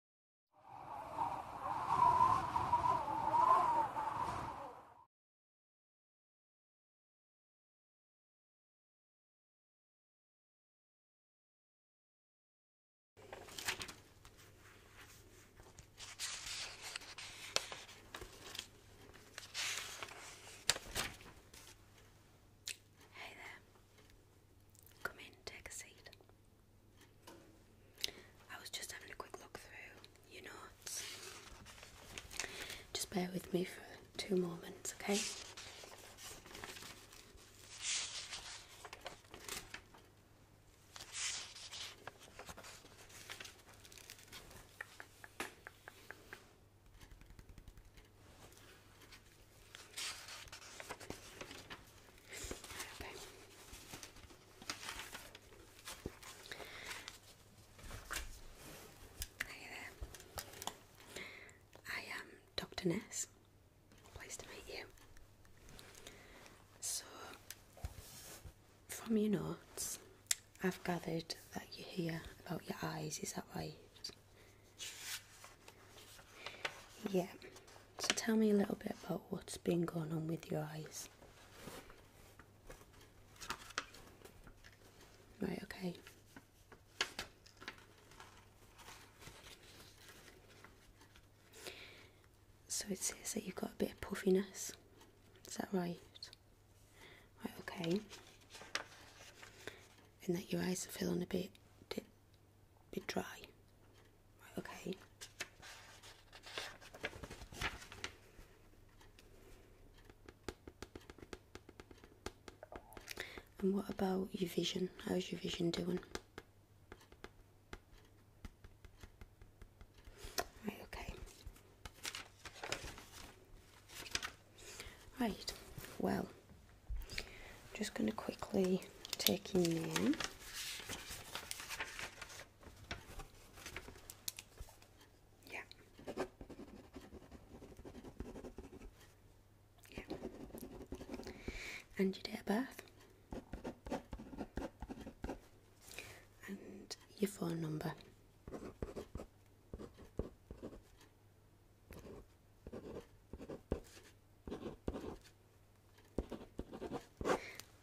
Hey there. Come in, take a seat. I was just having a quick look through your notes. Just bear with me for two moments, okay? Hey there. I am um, Dr. Ness. Pleased to meet you. So, from your notes, I've gathered that you hear about your eyes, is that right? Yeah. So tell me a little bit about what's been going on with your eyes. Right, okay. So it says that you've got a bit of puffiness. Is that right? Right, okay. And that your eyes are feeling a bit a bit dry. okay. And what about your vision? How's your vision doing? Right, okay. Right, well. I'm just going to quickly take in there. Yeah. Yeah. And your day of birth. And your phone number.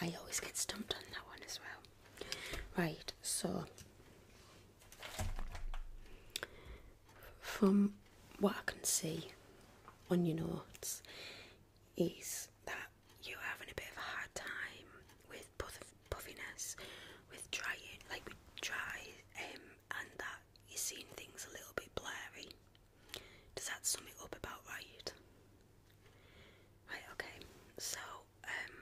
I always get stumped on that one as well. Right, so from what I can see on your notes is that you're having a bit of a hard time with puff puffiness, with drying, like with dry, um, and that you're seeing things a little bit blurry. Does that sum it up about right? Right, okay. So, um,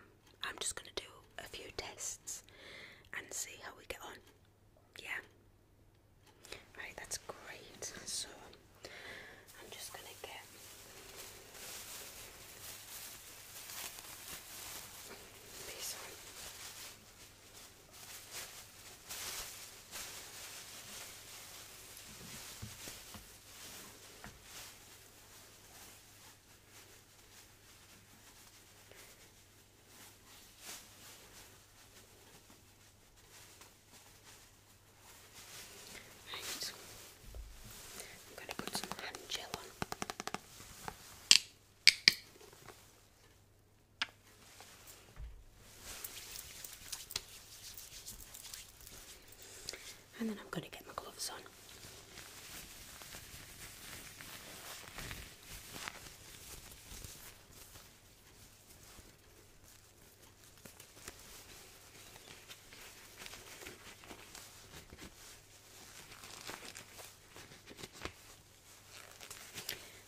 I'm just gonna do a few tests and see how we get on. Yeah. Right, that's great. So, I'm just gonna get. This one. Right. I'm going to put some hand gel on. And then I'm going to get my gloves on.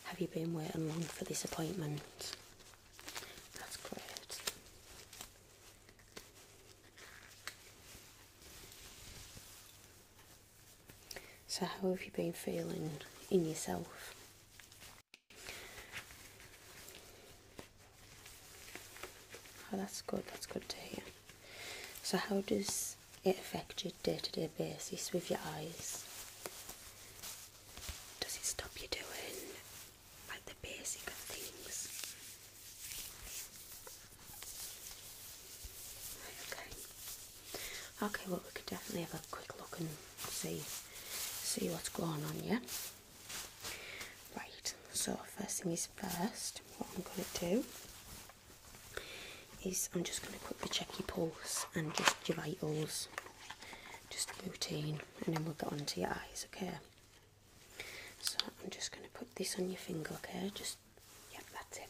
Have you been waiting long for this appointment? That's great. So, how have you been feeling in yourself? Oh, that's good, that's good to hear. So, how does it affect your day to day basis with your eyes? Does it stop you doing like the basic of things? okay. Okay, well we could definitely have a quick look and see see what's going on, yeah? Right, so first thing is first, what I'm gonna do is I'm just going to quickly check your pulse and just your vitals, just routine, and then we'll get on to your eyes, okay? So I'm just going to put this on your finger, okay? Just, yeah, that's it.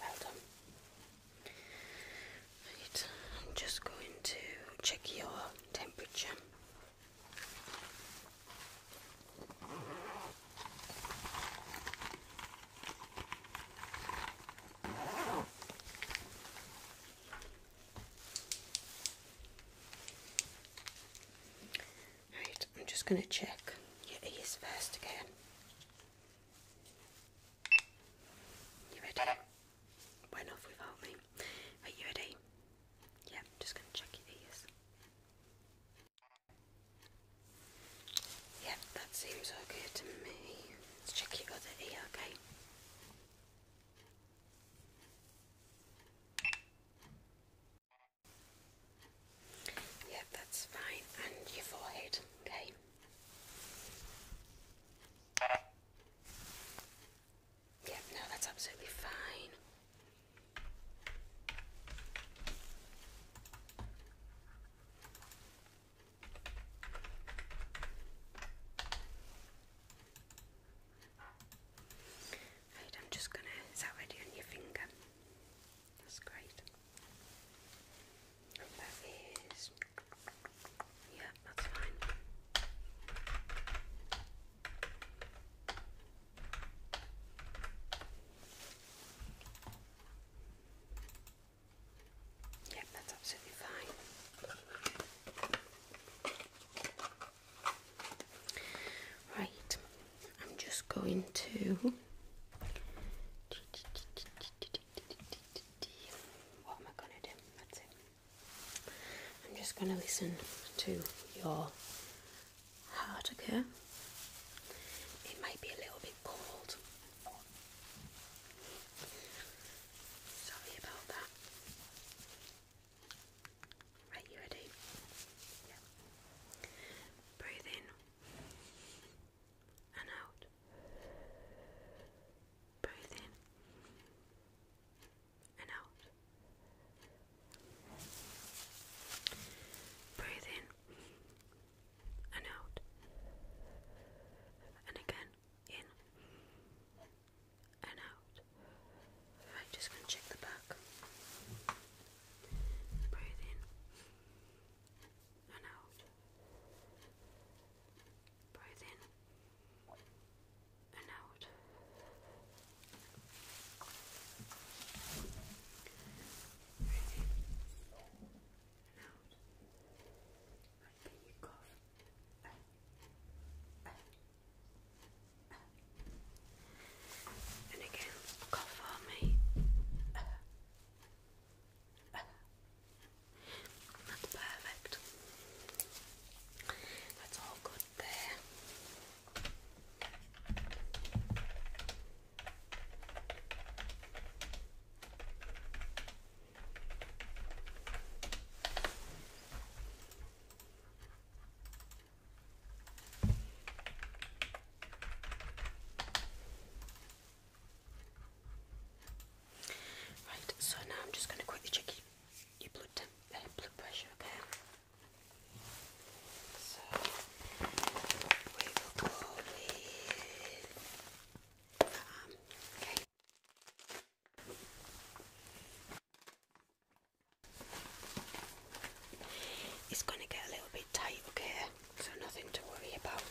Well done. Right, I'm just going to check your temperature. Right, I'm just going to check your ears first again. You ready? Went off without me. Are you ready? Yeah, I'm just going to check your ears. Yep, that seems okay to me. Let's check your other ear, okay? Yep, that's fine. And your forehead, okay? Yep, no, that's absolutely fine. Right, I'm just gonna, is that on your finger? That's great. that is, yeah, that's fine. Yep, that's absolutely fine. Right, I'm just going to. What am I going to do? I'm just going to listen to your heart, okay? It might be a little bit cold, Sorry about that. Right, you ready? Yeah. Breathe in and out. Breathe in and out. Breathe in and out, and again in and out. Right, just gonna check the back. Breathe in and out. Breathe in and out. Breathe in and out. And then you cough. And again, cough for me. That's perfect. That's all good there. Right, so now I'm just going to quickly check your, your blood, temp, uh, blood pressure, okay? Um, it's going to get a little bit tight, okay? So nothing to worry about.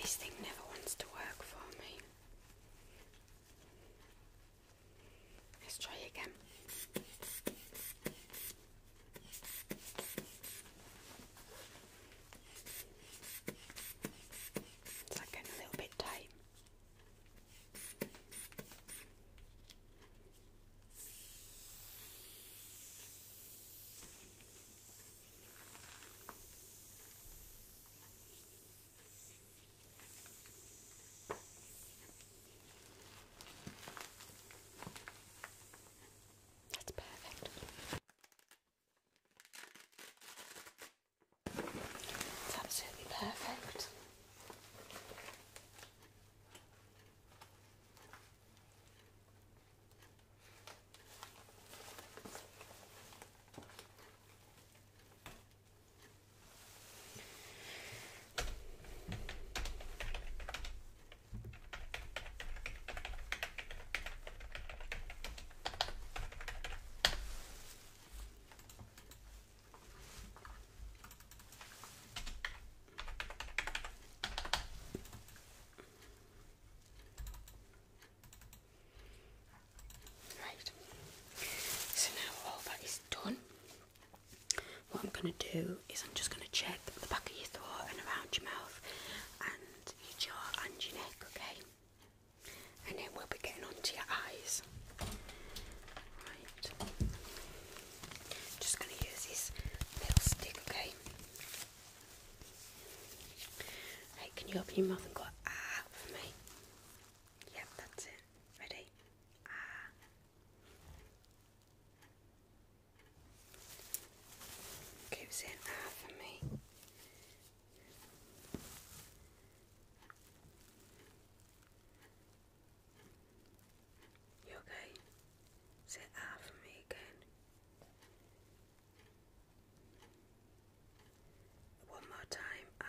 This thing never wants to work for me. Let's try again. It's like getting a little bit tight. That's perfect. It's absolutely perfect. Right, so now all that is done, what I'm going to do is I'm just going to check the back of your throat and around your mouth and your jaw and your neck, okay? And then we'll be getting onto your eyes. Right. Just going to use this little stick, okay? Hey, can you open your mouth and go ah for me? Yep, that's it. Ready? Ah. Keep saying ah for me. You okay? Say ah for me again. One more time, ah.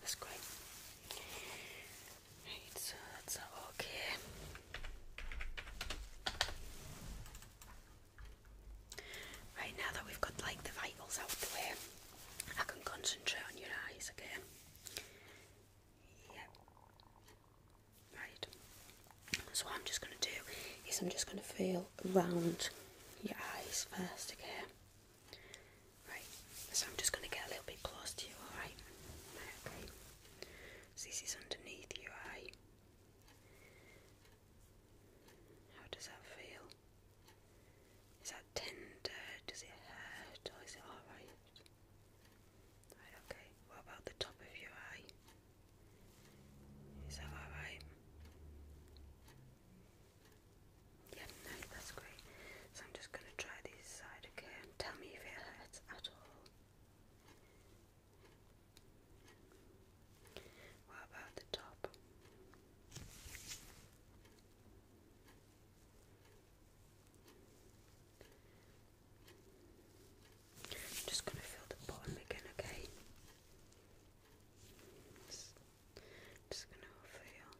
That's great. Right, so that's okay. Right, now that we've got like the vitals out the way, I can concentrate on your eyes again. Yeah. Right. So what I'm just going to do is I'm just going to feel around your eyes first, again. Right, so I'm just going to get a little bit close to you, alright? this is underneath your eye. How does that feel? Is that tender? Does it hurt? Or is it alright? Right, okay. What about the top of your eye? Is that alright? Yeah, no, that's great. So I'm just going to try this side again. Tell me if it hurts at all. What about the top? I'm just going to fill the bottom again, okay? just gonna feel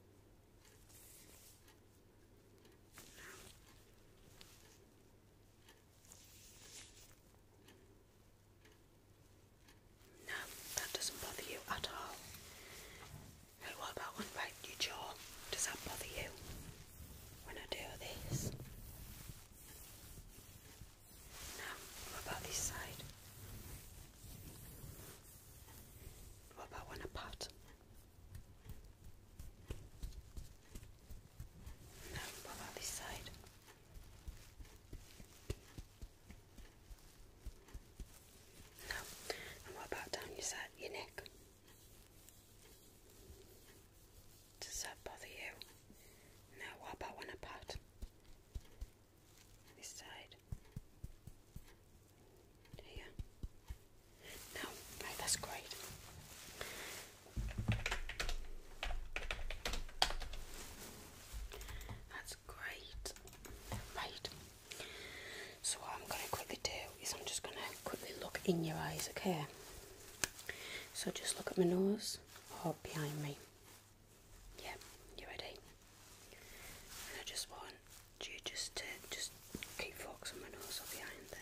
No, that doesn't bother you at all. Hey, what about one right jaw? Does that bother you when I do this? No, what about this side? What about one apart? No, what about this side? No, and what about down your side, your neck? Does that bother you? No, what about one apart? this side. Here. Now, that's great. That's great. Right. So what I'm going to quickly do is I'm just going to quickly look in your eyes, okay? So just look at my nose or behind me. Yeah, you ready? And I just want you just to just keep on my nose up behind there.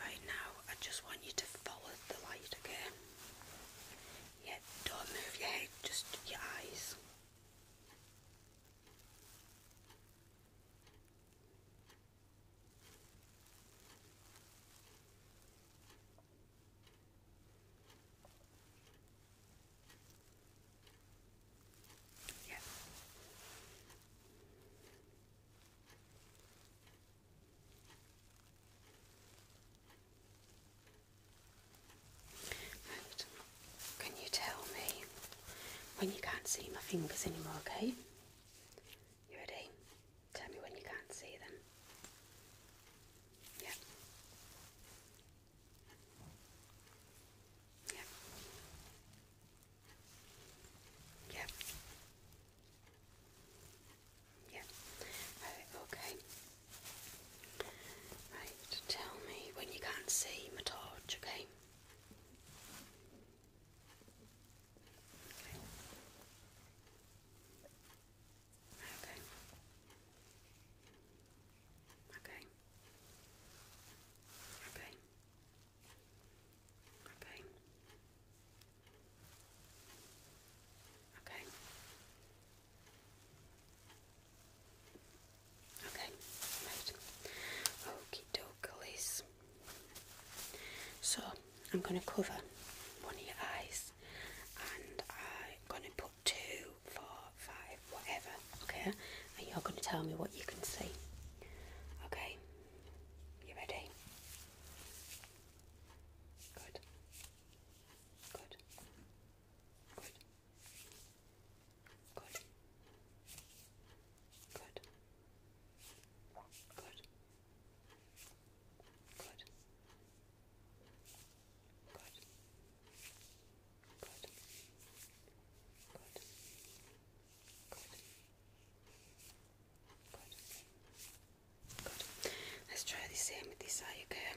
Right now, I just want you to follow the light, okay? Yeah, don't move your head, just your eyes can you tell me when you can't see my fingers anymore, okay? You ready? Tell me when you can't see them. Yep. Yep. Yep. Yep. okay. Right, tell me when you can't see my okay? Okay. Okay. Okay. Okay. Okay. Okay, right. Okie doke, Elise. So I'm going to cover one of your eyes and I'm going to put two, four, five, whatever, okay? And you're going to tell me what you can see. Okay? You ready? Good. Good. Good. Good. Good. Good. Good. Good. Good. Good. Good. Good. Let's try the same with this eye, again.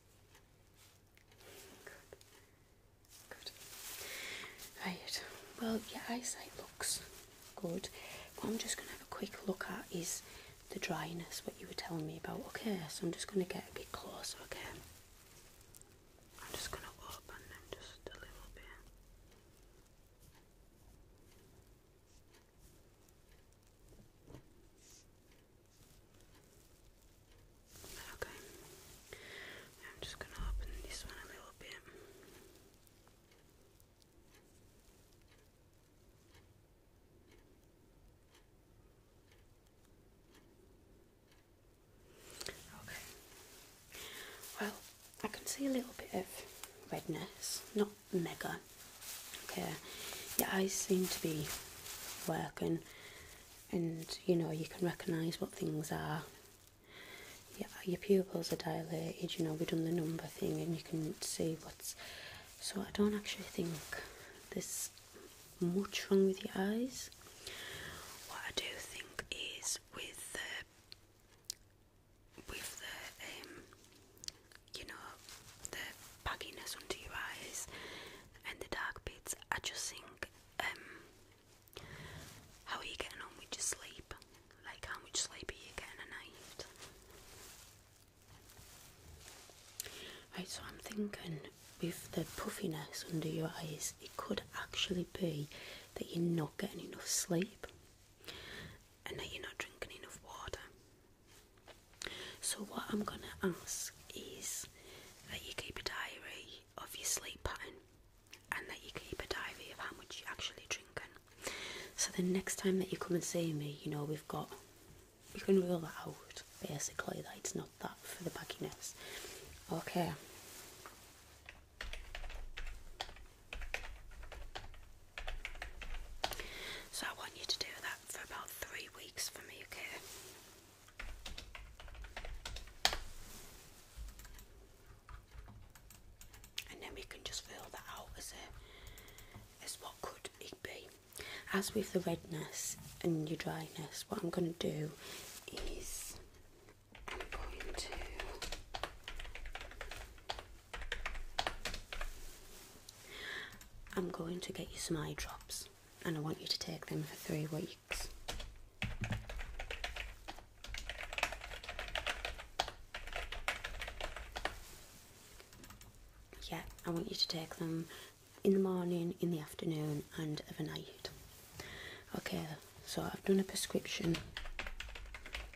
Good. Good. Right. Well, your eyesight looks good. What I'm just going to have a quick look at is the dryness, what you were telling me about. Okay, so I'm just going to get a bit closer, okay? I'm just going to open them just a little bit. Okay. I'm just going to open this one a little bit. Okay. Well, I can see a little bit of redness, not mega. Okay. Your eyes seem to be working and you know you can recognise what things are. Yeah, your pupils are dilated. You know we've done the number thing, and you can see what's. So I don't actually think there's much wrong with your eyes. What I do think is with the with the um, you know the bagginess under your eyes and the dark bits. I just think, um, how are you getting on with your sleep? Like, how much sleep are you getting a night? Right, so I'm thinking with the puffiness under your eyes, it could actually be that you're not getting enough sleep and that you're not drinking enough water. So, what I'm gonna ask is that you keep a diary of your sleep pattern and that you keep a diary of how much you're actually drinking. So, the next time that you come and see me, you know, we've got we can rule that out basically, that it's not that for the bagginess. Okay. So I want you to do that for about three weeks for me, okay? And then we can just fill that out as as what could it be. As with the redness and your dryness, what I'm gonna do is I'm going to I'm going to get you some eye drops and I want you to take them for three weeks. Yeah, I want you to take them in the morning, in the afternoon, and overnight. Okay, so I've done a prescription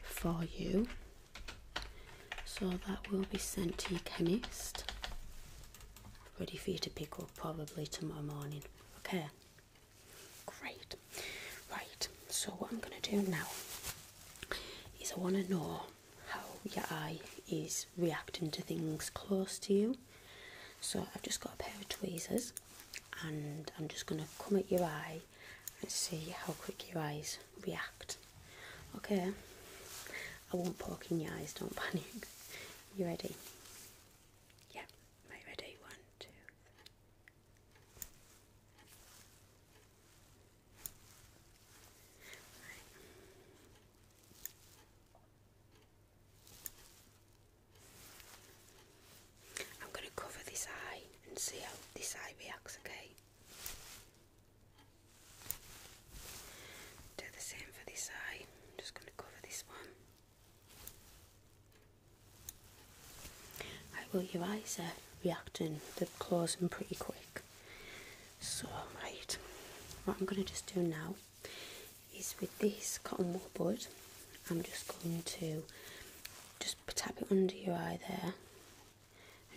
for you. So that will be sent to your chemist ready for you to pick up probably tomorrow morning. Okay, great. Right, so what I'm going to do now is I want to know how your eye is reacting to things close to you. So I've just got a pair of tweezers and I'm just going to come at your eye and see how quick your eyes react. Okay, I won't poke in your eyes, don't panic. You ready? Yeah, right, ready. One, two. I'm going to cover this eye and see how this eye reacts, okay? Do the same for this eye. I'm just going to cover this one. Right, well, your eyes are uh, reacting, they're closing pretty quick. So, what I'm going to just do now is with this cotton wool bud, I'm just going to just tap it under your eye there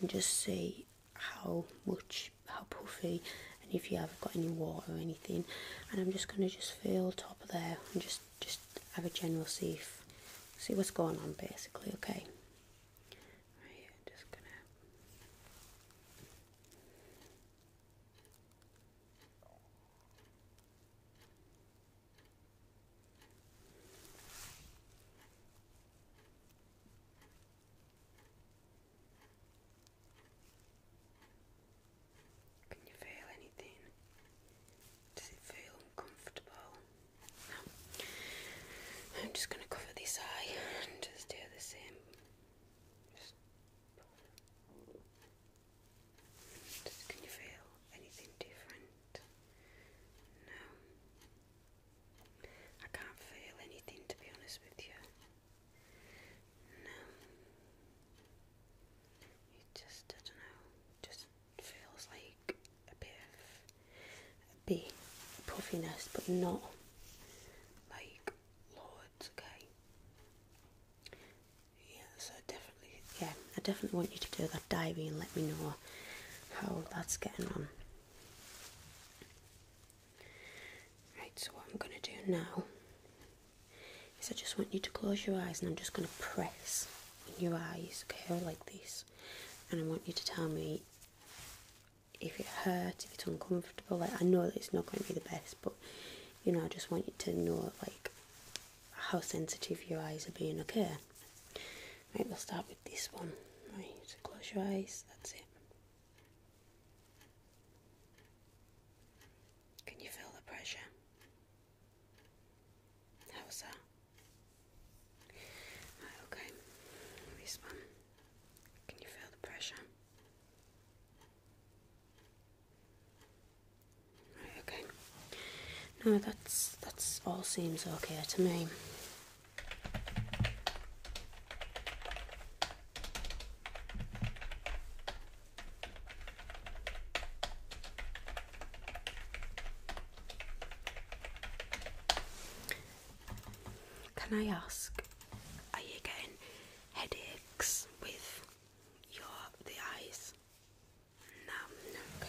and just see how much how puffy and if you haven't got any water or anything and I'm just gonna just feel top of there and just just have a general see see what's going on basically okay right just gonna can you feel anything? Does it feel uncomfortable? No. I'm just going to cover this eye and just do the same. Just can you feel anything different? No. I can't feel anything to be honest with you. No. It just, I don't know, just feels like a bit of a puffiness, but not like loads, okay? Yeah, so definitely, yeah, I definitely want you to do that diving and let me know how that's getting on. Right, so what I'm going to do now is I just want you to close your eyes and I'm just going to press your eyes, okay, like this. And I want you to tell me if it hurts, if it's uncomfortable. Like, I know that it's not going to be the best, but you know, I just want you to know, like, how sensitive your eyes are being, okay? Right, we'll start with this one. Right, so close your eyes, that's it. Can you feel the pressure? How's that? Right, okay. This one. Can you feel the pressure? Right, okay. No, that's that's all seems okay to me. Can I ask, are you getting headaches with your the eyes? No, no,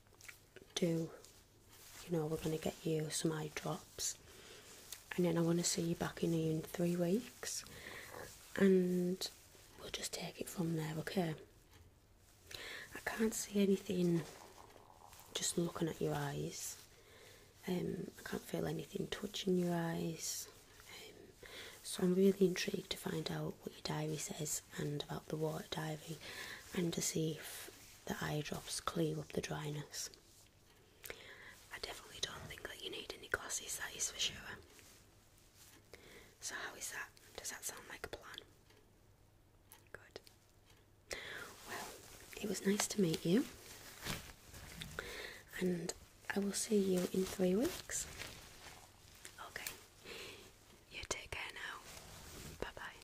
do you know we're going to get you some eye drops and then I want to see you back in here in three weeks and we'll just take it from there okay I can't see anything just looking at your eyes um, I can't feel anything touching your eyes um, so I'm really intrigued to find out what your diary says and about the water diary and to see if the eye drops clear up the dryness. I definitely don't think that you need any glasses, that is for sure. So, how is that? Does that sound like a plan? Good. Well, it was nice to meet you, and I will see you in three weeks. Okay, you take care now. Bye bye.